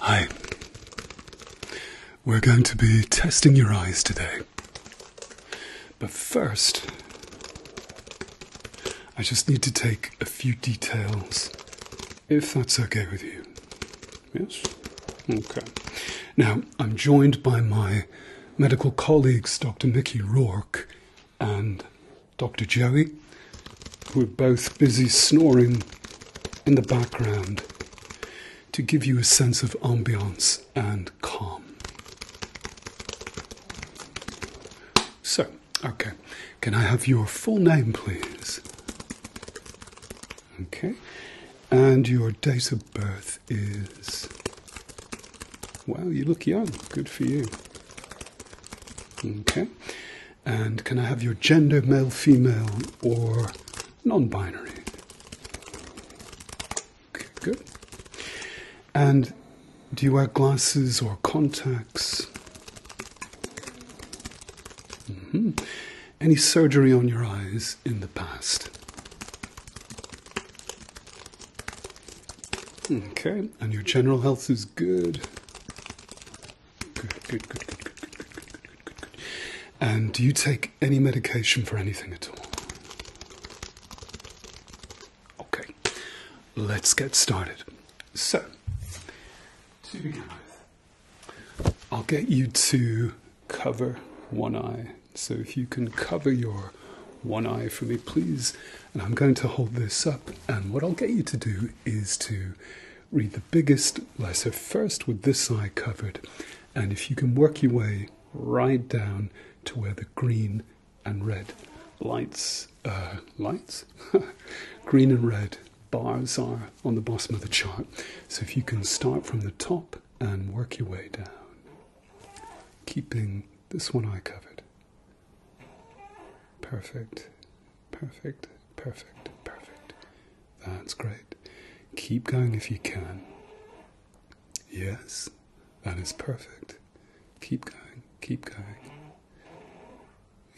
Hi. We're going to be testing your eyes today. But first, I just need to take a few details, if that's okay with you. Yes? Okay. Now, I'm joined by my medical colleagues, Dr. Mickey Rourke and Dr. Joey, who are both busy snoring in the background to give you a sense of ambience and calm. So, okay, can I have your full name, please? Okay, and your date of birth is. Wow, you look young. Good for you. Okay. And can I have your gender, male, female, or non binary? Okay, good. And do you wear glasses or contacts? Mm-hmm. Any surgery on your eyes in the past? Okay, and your general health is good. And do you take any medication for anything at all? Okay, let's get started. So, to begin with, I'll get you to cover one eye. So, if you can cover your one eye for me, please and I'm going to hold this up, and what I'll get you to do is to read the biggest letter first with this eye covered. And if you can work your way right down to where the green and red lights, uh, lights? green and red bars are on the bottom of the chart. So if you can start from the top and work your way down, keeping this one eye covered. Perfect, perfect, perfect, perfect. That's great. Keep going if you can. Yes, that is perfect. Keep going, keep going.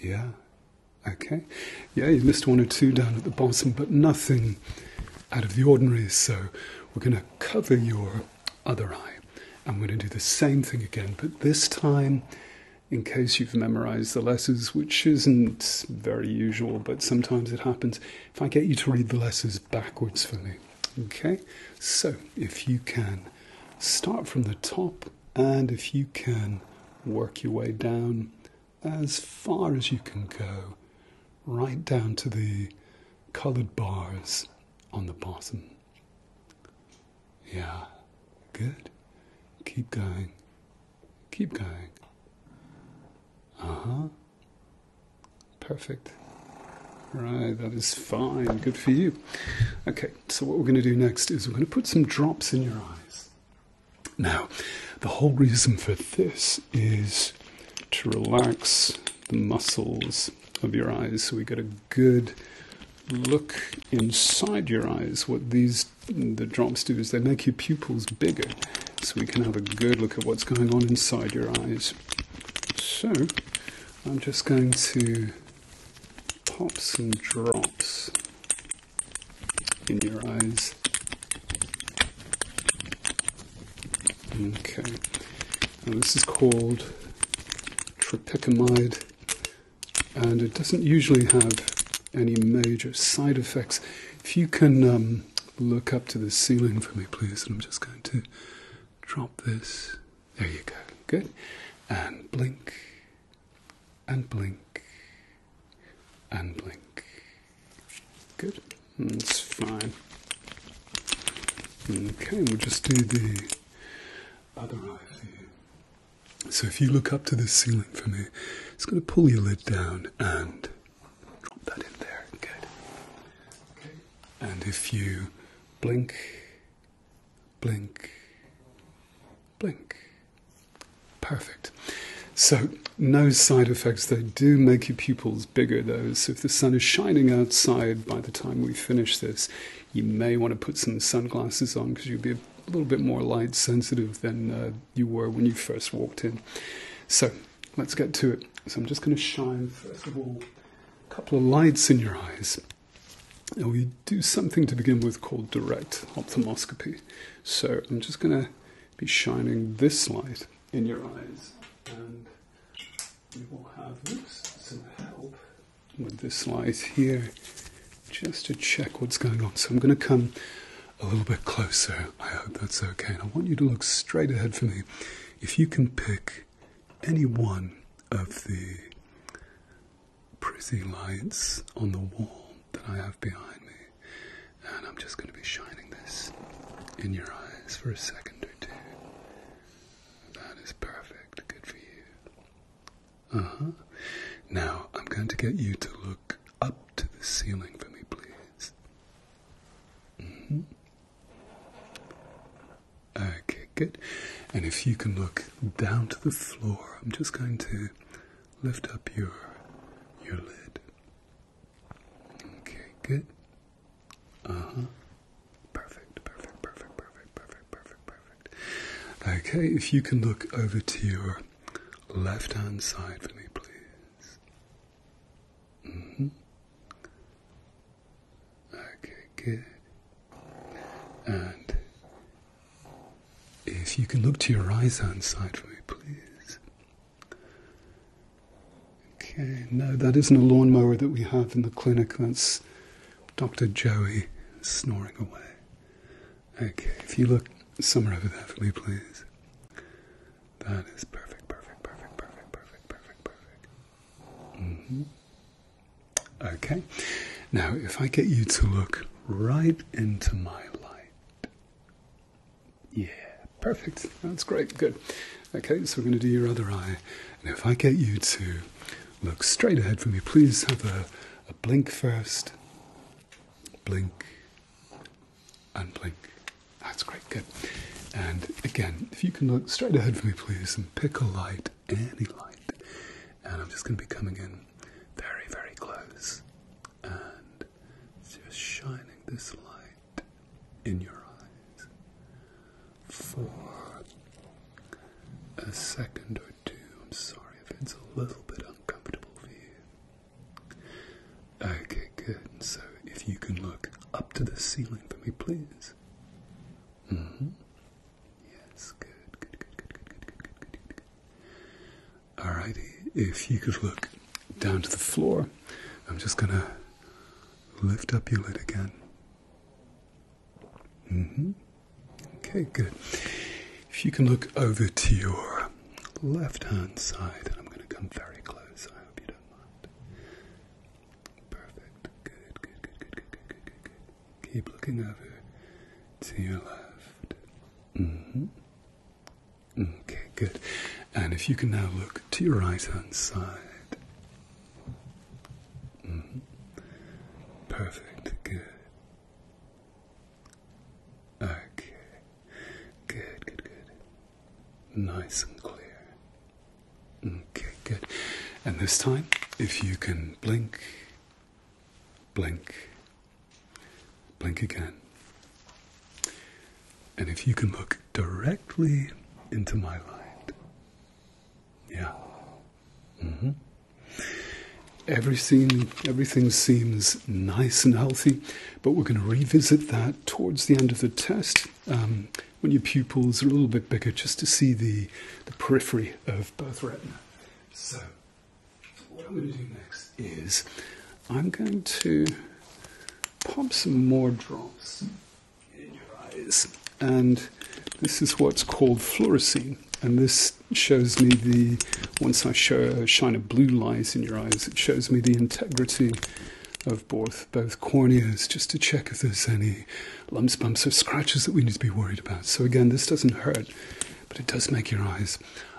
Yeah, okay. Yeah, you missed one or two down at the bottom, but nothing out of the ordinary. So we're going to cover your other eye. we're going to do the same thing again, but this time in case you've memorized the letters, which isn't very usual, but sometimes it happens, if I get you to read the letters backwards for me. Okay, so if you can start from the top and if you can work your way down as far as you can go, right down to the colored bars on the bottom. Yeah, good. Keep going. Keep going. Uh Perfect. Right, that is fine. Good for you. Okay, so what we're going to do next is we're going to put some drops in your eyes. Now, the whole reason for this is to relax the muscles of your eyes so we get a good look inside your eyes, what these the drops do is they make your pupils bigger, so we can have a good look at what's going on inside your eyes. So I'm just going to pop some drops in your eyes. Okay, now this is called tropicamide and it doesn't usually have any major side effects. If you can um, look up to the ceiling for me, please, and I'm just going to drop this. There you go. Good. And blink, and blink, and blink. Good. That's fine. Okay, we'll just do the other eye so if you look up to the ceiling for me, it's going to pull your lid down and drop that in there. Good. Okay. And if you blink, blink, blink. Perfect. So, no side effects. They do make your pupils bigger, though. So, if the sun is shining outside by the time we finish this, you may want to put some sunglasses on because you'll be a a little bit more light sensitive than uh, you were when you first walked in. So let's get to it. So I'm just going to shine, first of all, a couple of lights in your eyes. we do something to begin with called direct ophthalmoscopy. So I'm just going to be shining this light in your eyes. And we will have some help with the slice here just to check what's going on. So I'm going to come a little bit closer. I hope that's okay. And I want you to look straight ahead for me. If you can pick any one of the pretty lights on the wall that I have behind me, and I'm just going to be shining this in your eyes for a second or two. That is perfect. Good for you. Uh-huh. Now, I'm going to get you to look up to the ceiling for me, please. Mm-hmm. Okay, good. And if you can look down to the floor, I'm just going to lift up your your lid. Okay, good. Uh-huh. Perfect, perfect, perfect, perfect, perfect, perfect, perfect, Okay, if you can look over to your left hand side for me, please. Mm-hmm. Okay, good. And if you can look to your right hand side for me, please. Okay, no, that isn't a lawnmower that we have in the clinic. That's Dr. Joey snoring away. Okay, if you look somewhere over there for me, please. That is perfect, perfect, perfect, perfect, perfect, perfect, perfect. Mm-hmm. Okay, now if I get you to look right into my light. Yeah, perfect. That's great, good. Okay, so we're going to do your other eye. And if I get you to look straight ahead for me, please have a a blink first, blink, and blink. That's great, good. And again, if you can look straight ahead for me, please, and pick a light, any light. And I'm just going to be coming in very, very close and just shining this light in your eyes. Four, a second or two. I'm sorry if it's a little bit uncomfortable for you. Okay, good. So if you can look up to the ceiling for me, please. Mm-hmm. Yes, good, good, good, good, good, good, good, good, good, good. if you could look down to the floor, I'm just gonna lift up your lid again. Mm-hmm. Okay, good. If you can look over to your left hand side, and I'm going to come very close. I hope you don't mind. Perfect. Good, good, good, good, good, good, good, Keep looking over to your left. Mm-hmm. Okay, good. And if you can now look to your right hand side. Mm-hmm. Perfect. Good. Okay. Good, good, good. Nice and clear. Okay, good. And this time, if you can blink, blink, blink again. And if you can look directly into my light. Yeah. Mm-hmm. Everything, everything seems nice and healthy, but we're going to revisit that towards the end of the test um, when your pupils are a little bit bigger, just to see the, the periphery of both retina. So, what I'm going to do next is I'm going to pop some more drops in your eyes, and this is what's called fluorescein, and this shows me the, once I show, a shine of blue light in your eyes, it shows me the integrity of both, both corneas just to check if there's any lumps, bumps, or scratches that we need to be worried about. So again, this doesn't hurt, but it does make your eyes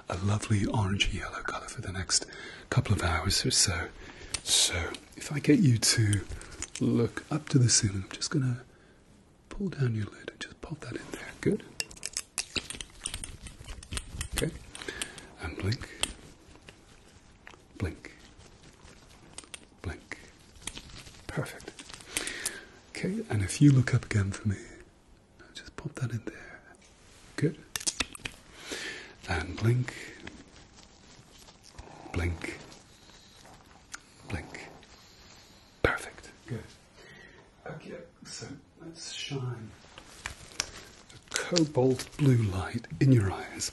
a lovely orangey yellow color for the next couple of hours or so. So if I get you to look up to the ceiling, I'm just going to pull down your lid and just pop that in there. Good. Okay. And blink. Blink. Blink. Perfect. Okay, and if you look up again for me, just pop that in there. Good. And blink. Blink. Blink. Perfect. Good. Okay, so let's shine a cobalt blue light in your eyes.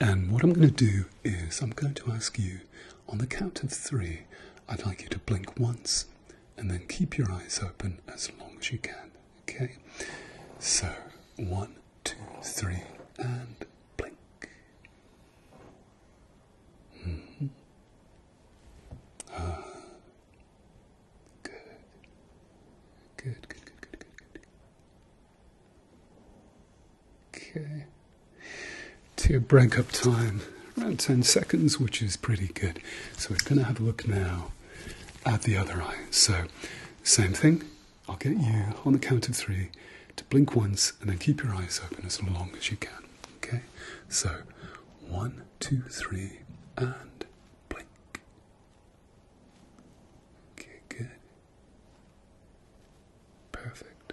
And what I'm going to do is I'm going to ask you on the count of three, I'd like you to blink once and then keep your eyes open as long as you can. Okay? So, one, two, three, and blink. Good, good, good, good, good, good. Okay. To break up time, around 10 seconds, which is pretty good. So we're going to have a look now at the other eye. So, same thing. I'll get you on the count of three to blink once and then keep your eyes open as long as you can. Okay, so one, two, three, and blink. Okay, Perfect.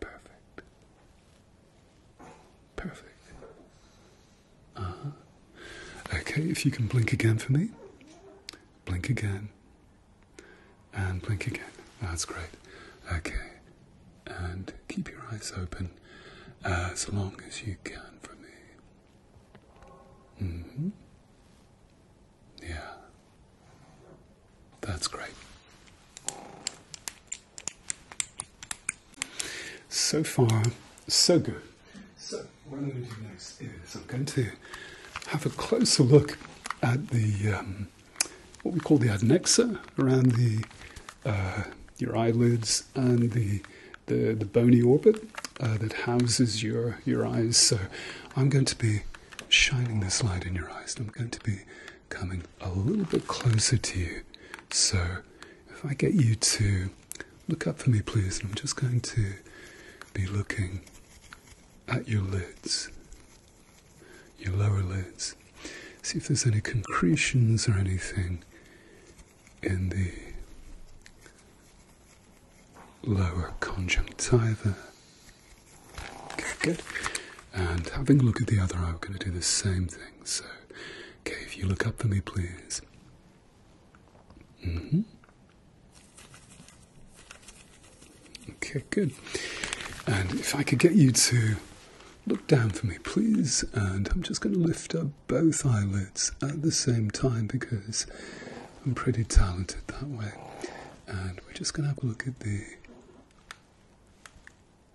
Perfect. Perfect. Uh Okay, if you can blink again for me. Blink again. And blink again. That's great. Okay. And keep your eyes open as uh, long as you can for me. Mm-hmm. Yeah. That's great. So far, so good. So, what I'm going to do next is I'm going to have a closer look at the. Um, what we call the adnexa around uh, your eyelids and the bony orbit uh, that houses your eyes. So I'm going to be shining this light in your eyes. And I'm going to be coming a little bit closer to you. So if I get you to look up for me, please, I'm just going to be looking at your lids your lower lids. See if there's any concretions or anything in the lower conjunctiva. good. And having a look at the other eye, we're going to do the same thing. So, okay, if you look up for me, please. hmm. Okay, good. And if I could get you to look down for me, please. And I'm just going to lift up both eyelids at the same time because I'm pretty talented that way. And we're just going to have a look at the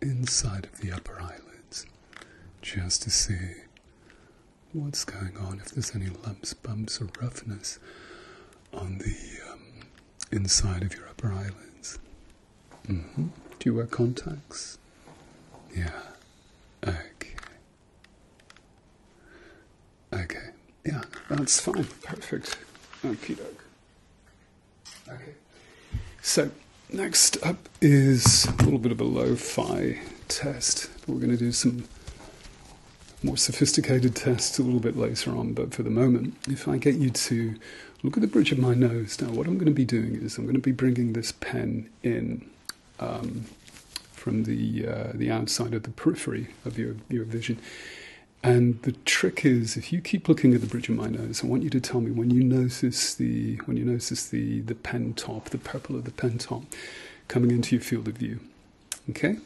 inside of the upper eyelids just to see what's going on, if there's any lumps, bumps, or roughness on the um, inside of your upper eyelids. Mm-hmm. Do you wear contacts? Yeah. Okay. Okay. Yeah, that's fine. Perfect. Okay, So, next up is a little bit of a low fi test. We're going to do some more sophisticated tests a little bit later on, but for the moment, if I get you to look at the bridge of my nose now. What I'm going to be doing is I'm going to be bringing this pen in um, from the uh, the outside of the periphery of your your vision. And the trick is, if you keep looking at the bridge of my nose, I want you to tell me when you notice the when you notice the the pen top, the purple of the pen top, coming into your field of view. Okay,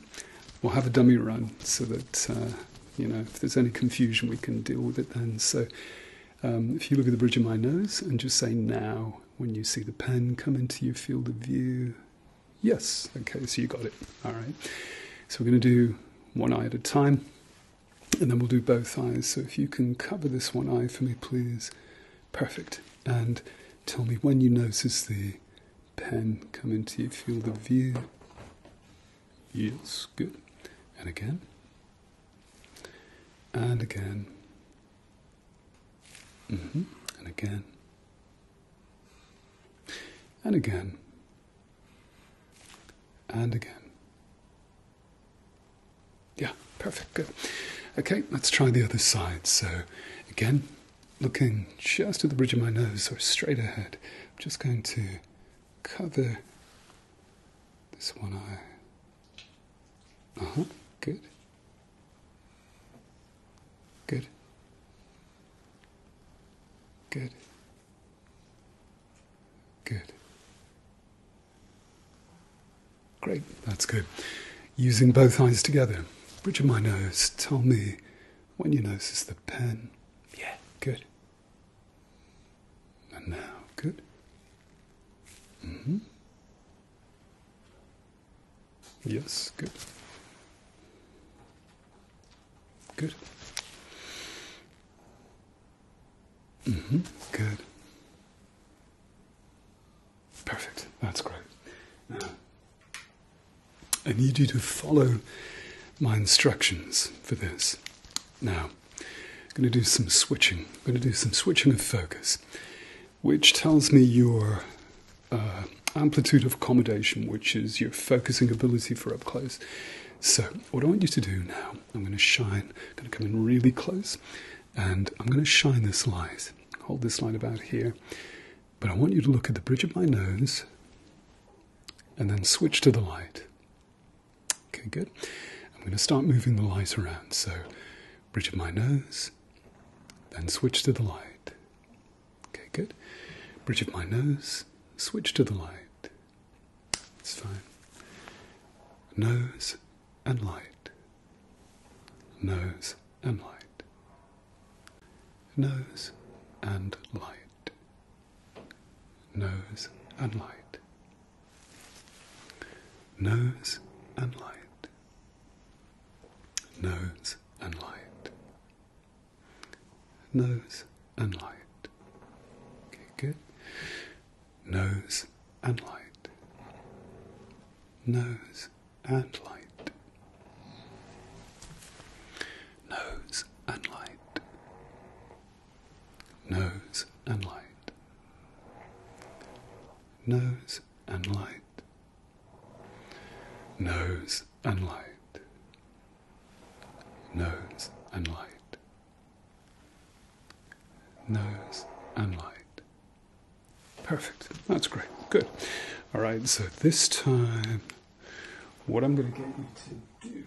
we'll have a dummy run so that uh, you know, if there's any confusion, we can deal with it then. So um, if you look at the bridge of my nose and just say now, when you see the pen come into your field of view, yes. Okay, so you got it. All right. So we're going to do one eye at a time and then we'll do both eyes. So if you can cover this one eye for me, please. Perfect. And tell me when you notice the pen come into your field of view. Yes, good. And again. And again. Mm -hmm. And again. And again. And again. Yeah, perfect, good. Okay, let's try the other side. So, again, looking just at the bridge of my nose or straight ahead, I'm just going to cover this one eye. Uh huh, good. Good. Good. Good. Great, that's good. Using both eyes together. Bridge of my nose, tell me when you notice the pen. Yeah, good. And now, good. Mm-hmm. Yes, good. Good. Mm-hmm, good. Perfect. That's great. I need you to follow my instructions for this. Now, I'm going to do some switching. I'm going to do some switching of focus, which tells me your uh, amplitude of accommodation, which is your focusing ability for up close. So, what I want you to do now, I'm going to shine, I'm going to come in really close, and I'm going to shine this light. Hold this light about here, but I want you to look at the bridge of my nose and then switch to the light. Okay, good. I'm going to start moving the light around. So, bridge of my nose, then switch to the light. Okay, good. Bridge of my nose, switch to the light. It's fine. Nose and light. Nose and light. Nose and light nose and light, nose and light, nose and light, nose and light. Okay, good. Nose and light, nose and light nose and light, nose and light, nose and light, nose and light, nose and light, nose and light. Perfect. That's great. Good. All right. So this time, what I'm going to get you to do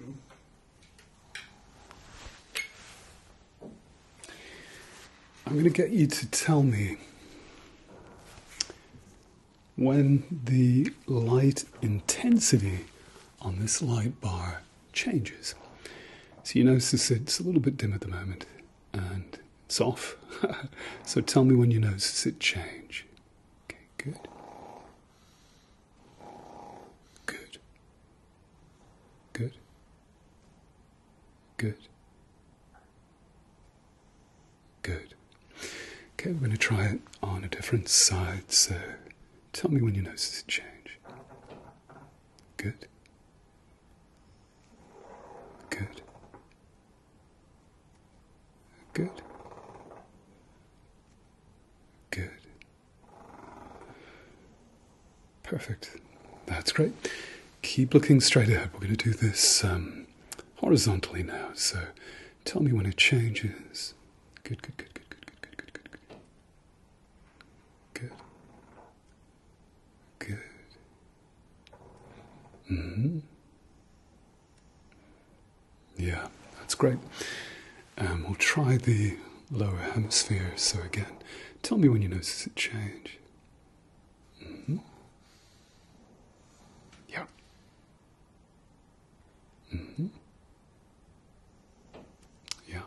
I'm going to get you to tell me when the light intensity on this light bar changes. So you notice it's a little bit dim at the moment and it's off. so tell me when you notice it change. Okay, good. Good. Good. Good. Good. Okay, we're going to try it on a different side, so tell me when you notice a change. Good. Good. Good. Good. Perfect. That's great. Keep looking straight ahead. We're going to do this um, horizontally now. So tell me when it changes. Good, good, good, good, good, good, good, good, good, good. Good. Good. Mm hmm. Yeah, that's great. Um, we'll try the lower hemisphere. So, again, tell me when you notice it change. Mm-hmm. Yeah. Mm-hmm. Yeah.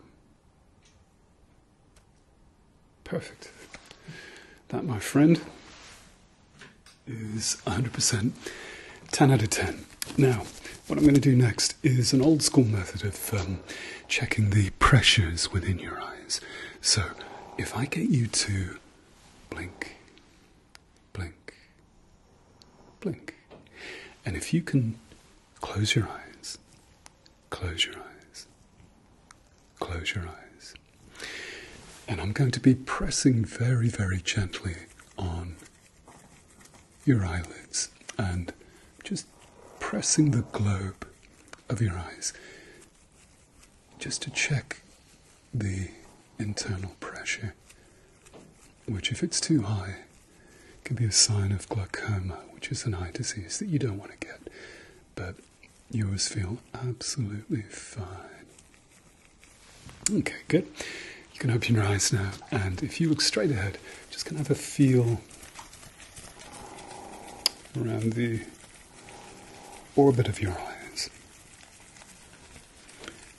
Perfect. That, my friend, is 100%. 10 out of 10. Now, what I'm going to do next is an old school method of um, checking the pressures within your eyes. So, if I get you to blink, blink, blink, and if you can close your eyes, close your eyes, close your eyes, and I'm going to be pressing very, very gently on your eyelids and just pressing the globe of your eyes just to check the internal pressure, which, if it's too high, can be a sign of glaucoma, which is an eye disease that you don't want to get. But yours feel absolutely fine. Okay, good. You can open your eyes now, and if you look straight ahead, just gonna have a feel around the orbit of your eyes.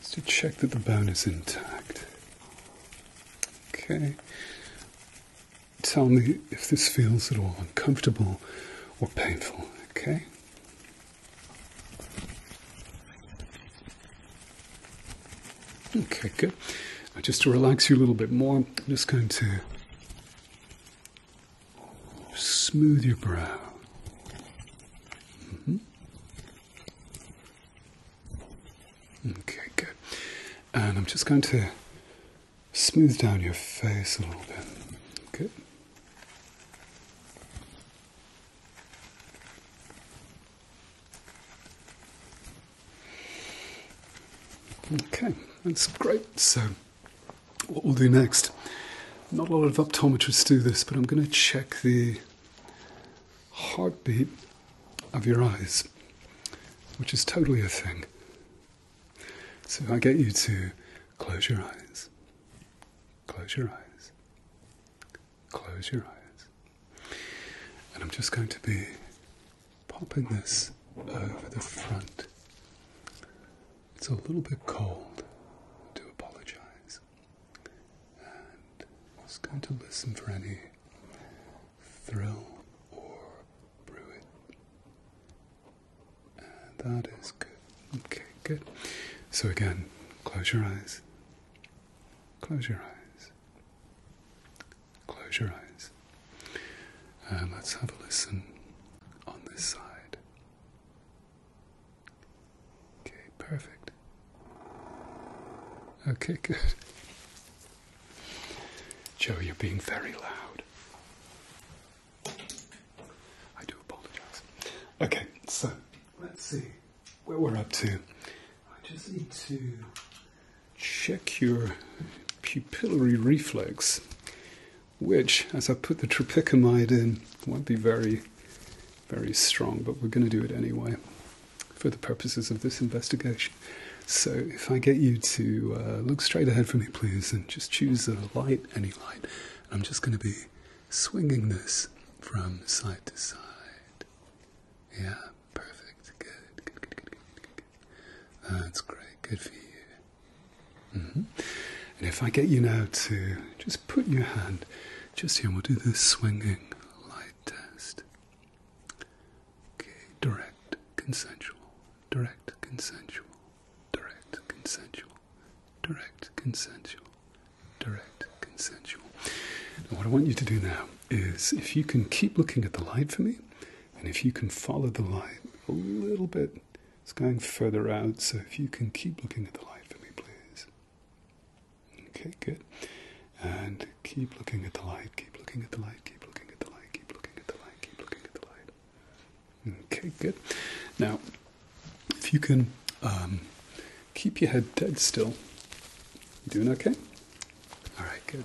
Just to check that the bone is intact. Okay. Tell me if this feels at all uncomfortable or painful, okay? Okay, good. Uh, just to relax you a little bit more, I'm just going to smooth your brow. Mm-hmm. Okay, good. And I'm just going to smooth down your face a little bit. Good. Okay, that's great. So, what we'll do next, not a lot of optometrists do this, but I'm going to check the heartbeat of your eyes, which is totally a thing. So, I get you to close your eyes, close your eyes, close your eyes. And I'm just going to be popping this over the front. It's a little bit cold, I apologize. And I'm just going to listen for any thrill or bruit. And that is good. Okay, good. So again, close your eyes. Close your eyes. Close your eyes. And let's have a listen on this side. Okay, perfect. Okay, good. Joe, you're being very loud. I do apologize. Okay, so let's see where we're up to. I just need to check your pupillary reflex, which, as I put the tropicamide in, won't be very, very strong, but we're going to do it anyway for the purposes of this investigation. So, if I get you to uh, look straight ahead for me, please, and just choose a light, any light, I'm just going to be swinging this from side to side. Yeah, perfect. Good, good, good, good, good, good, ah, That's great. Good for you. Mm-hmm. And if I get you now to just put your hand just here, we'll do the swinging light test. Okay, direct, consensual, direct, consensual, direct, consensual, direct, consensual, direct, consensual. what I want you to do now is if you can keep looking at the light for me, and if you can follow the light a little bit, it's going further out, so if you can keep looking at the light for me, please. Okay, good. And keep looking at the light, keep looking at the light, keep looking at the light, keep looking at the light, keep looking at the light. Okay, good. Now, if you can um, Keep your head dead still. You doing okay? All right, good.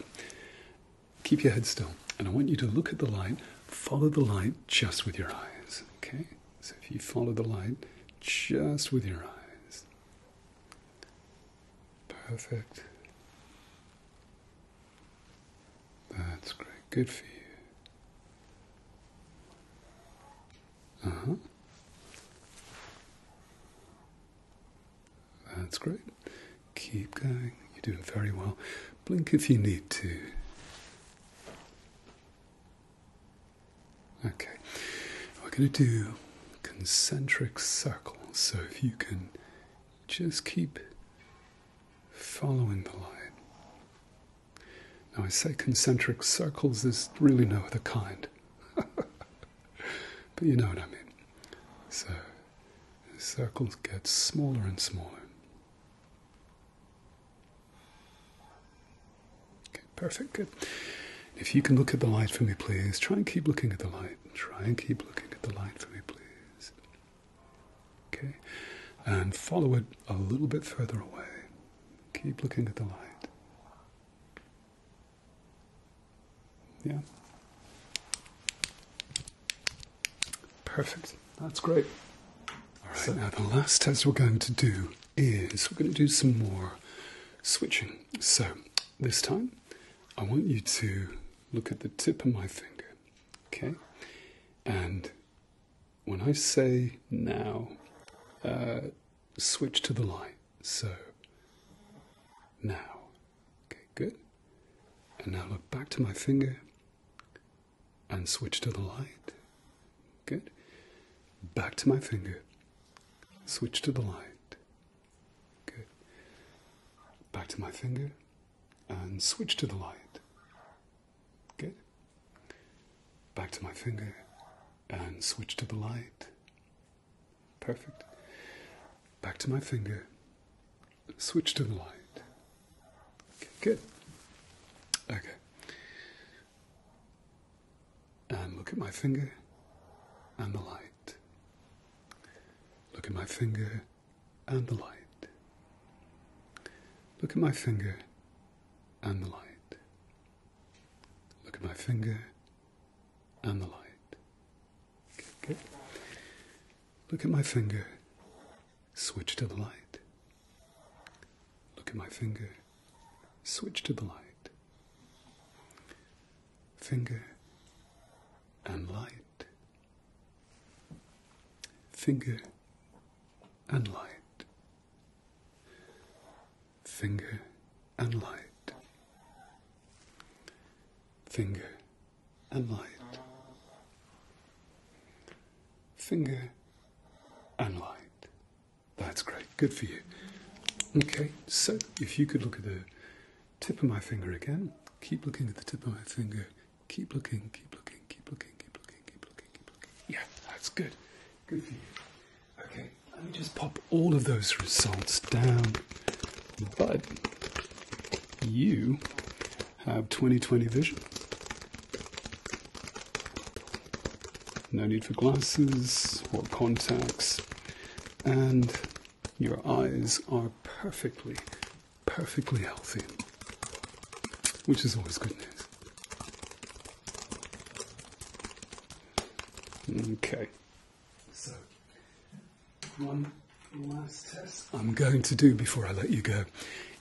Keep your head still. And I want you to look at the light, follow the light just with your eyes, okay? So if you follow the light just with your eyes. Perfect. That's great. Good for you. Uh-huh. That's great. Keep going. You're doing very well. Blink if you need to. Okay. We're going to do concentric circles. So if you can just keep following the line. Now, I say concentric circles, there's really no other kind. but you know what I mean. So circles get smaller and smaller. Okay, perfect, good. If you can look at the light for me, please. Try and keep looking at the light. Try and keep looking at the light for me, please. Okay, and follow it a little bit further away. Keep looking at the light. Yeah. Perfect. That's great. All right. now the last test we're going to do is we're going to do some more switching. So this time I want you to look at the tip of my finger. Okay? And when I say now, uh, switch to the light. So now, okay, good. And now look back to my finger and switch to the light. Good. Back to my finger. Switch to the light. Good. Back to my finger and switch to the light. Good. Back to my finger and switch to the light. Perfect. Back to my finger. Switch to the light. Okay, good. Okay. And look at my finger and the light. Look at my finger and the light. Look at my finger and the light. Look at my finger and the light. Look at my finger. Switch to the light. Look at my finger. Switch to the light. Finger and light. Finger and light finger and light, finger and light, finger and light. That's great, good for you. Okay, so if you could look at the tip of my finger again, keep looking at the tip of my finger, keep looking, keep looking, keep looking, keep looking, keep looking, Yeah, that's good. Good for you. Okay, let me just pop all of those results down. But you have 20/20 vision. No need for glasses or contacts. And your eyes are perfectly, perfectly healthy, which is always good news. Okay. So, one last test I'm going to do before I let you go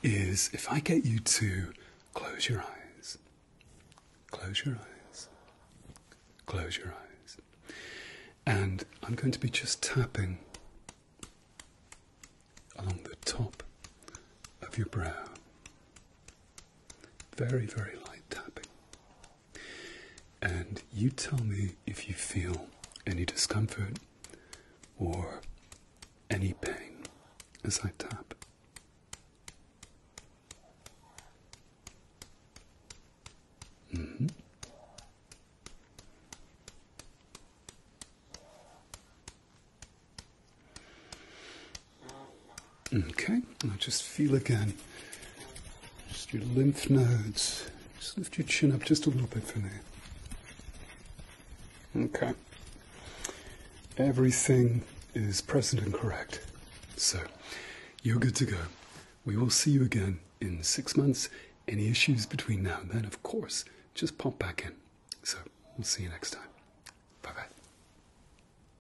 is if I get you to close your eyes, close your eyes, close your eyes, and I'm going to be just tapping along the top of your brow. Very, very light tapping. And you tell me if you feel any discomfort or any pain as I tap. Mm-hmm. Okay, now just feel again. Just your lymph nodes. Just lift your chin up just a little bit for me. Okay. Everything is present and correct. So, you're good to go. We will see you again in six months. Any issues between now and then, of course, just pop back in. So, we'll see you next time. Bye bye.